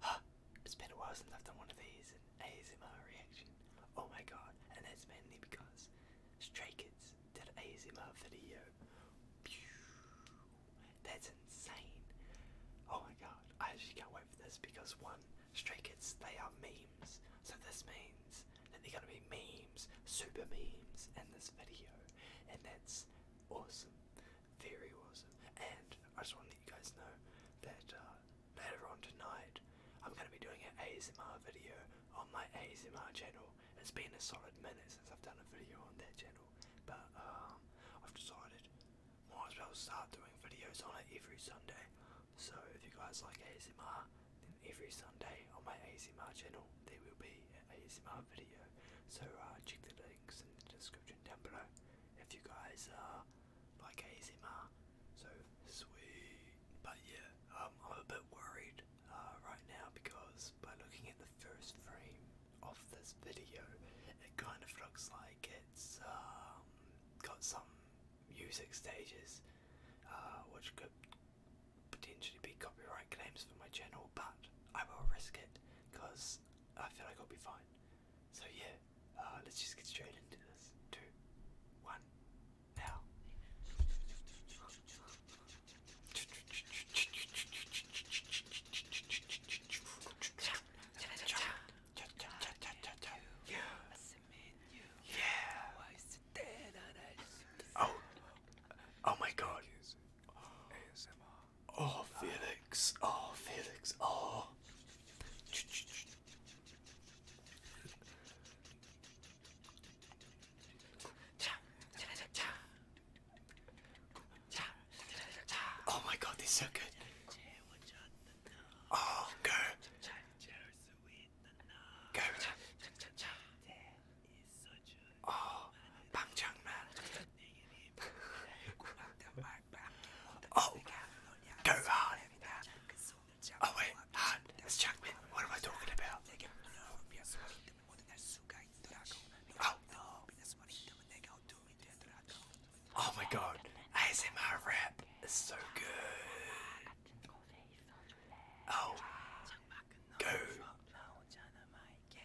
Huh, it's been a while since I've done one of these, an ASMR reaction. Oh my god, and that's mainly because Stray Kids did an ASMR video. That's insane. Oh my god, I actually can't wait for this because one, Stray Kids, they are memes. So this means that they're gonna be memes, super memes in this video. And that's awesome. Theory was, And I just want to let you guys know that uh, later on tonight I'm going to be doing an ASMR video on my ASMR channel. It's been a solid minute since I've done a video on that channel, but um, I've decided might as well start doing videos on it every Sunday. So if you guys like ASMR, then every Sunday on my ASMR channel there will be an ASMR video. So uh, check the links in the description down below if you guys uh, like ASMR. So sweet. But yeah, um, I'm a bit worried uh, right now because by looking at the first frame of this video, it kind of looks like it's um, got some music stages uh, which could potentially be copyright claims for my channel, but I will risk it because I feel like I'll be fine. So yeah, uh, let's just get straight into this. Two, one, now. Yeah. Oh. Oh my God. Oh, Felix. Oh, Felix. Oh. Oh my god, this is so good. Oh, go. Go. 어, oh, oh, go on. Oh wait, Han, it's Jackman. What am I talking about? Oh. Oh my god, ASMR rap is so good. Oh, go.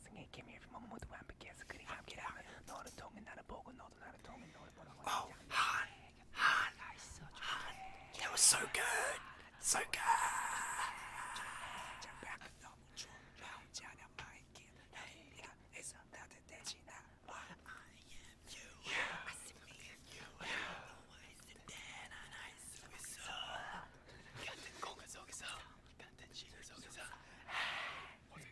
환승에 개미를 모두 완벽해서 그리 함께라면 너를 통해 나를 보고 너도 나를 통해 너를 보라고 Oh, Han, Han, Han, that was so good, so good.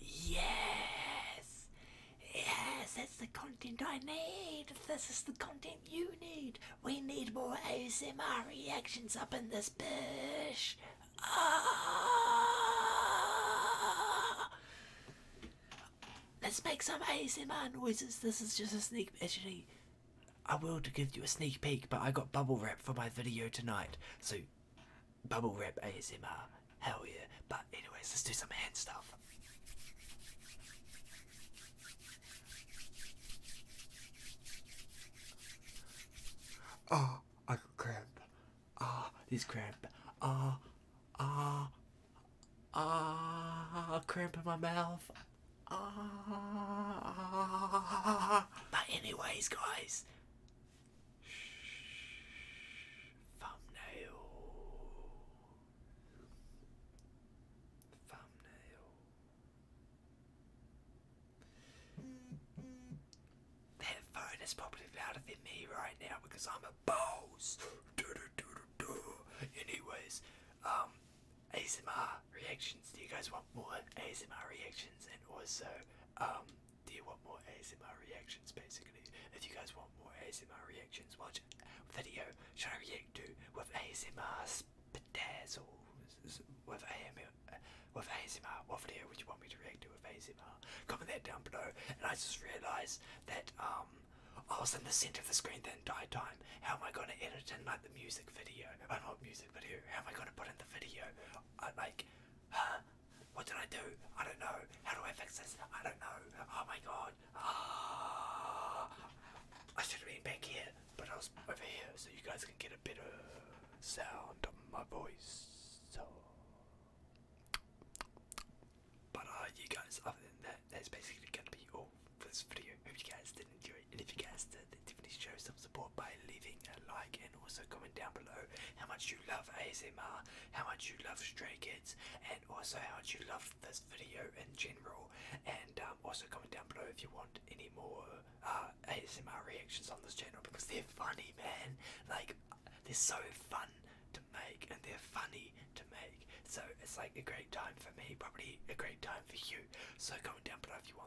Yes! Yes, that's the content I need! This is the content you need! We need more ASMR reactions up in this bitch! Ah! Let's make some ASMR noises. This is just a sneak actually. I will to give you a sneak peek, but I got bubble wrap for my video tonight, so Bubble wrap ASMR. Hell yeah. But anyways, let's do some hand stuff. Ah, oh, I cramp. Ah, oh, this cramp. Ah, oh, ah, oh, ah, oh, cramp in my mouth. Ah. Oh. But anyways, guys, Thumbnail. Thumbnail. That phone is probably louder than me right now because I'm a boss. Anyways, um, ASMR reactions. Do you guys want more ASMR reactions? And also, um, do you want more ASMR reactions basically? If you guys want more ASMR reactions, watch video should I react to with ASMR spazzles with AML with ASMR, what video would you want me to react to with ASMR? Comment that down below and I just realised that um I was in the centre of the screen the entire time. How am I gonna edit in like the music video? i Oh uh, not music video, how am I gonna put in the video? like what did I do? I don't know. How do I fix this? I don't know. Oh my god. Ah, I should have been back here, but I was over here so you guys can get a bit of sound of my voice. So. But uh, you guys, other than that, that's basically going to be all for this video. Hope you guys did enjoy it, and if you guys did, definitely show some support by leaving a like and also comment down below how much you love ASMR, how much you love Stray Kids, and also how much you love this video in general. And um, also comment down below if you want any more uh, ASMR reactions on this channel because they're funny, man. Like they're so fun to make and they're funny to make. So it's like a great time for me, probably a great time for you. So comment down below if you want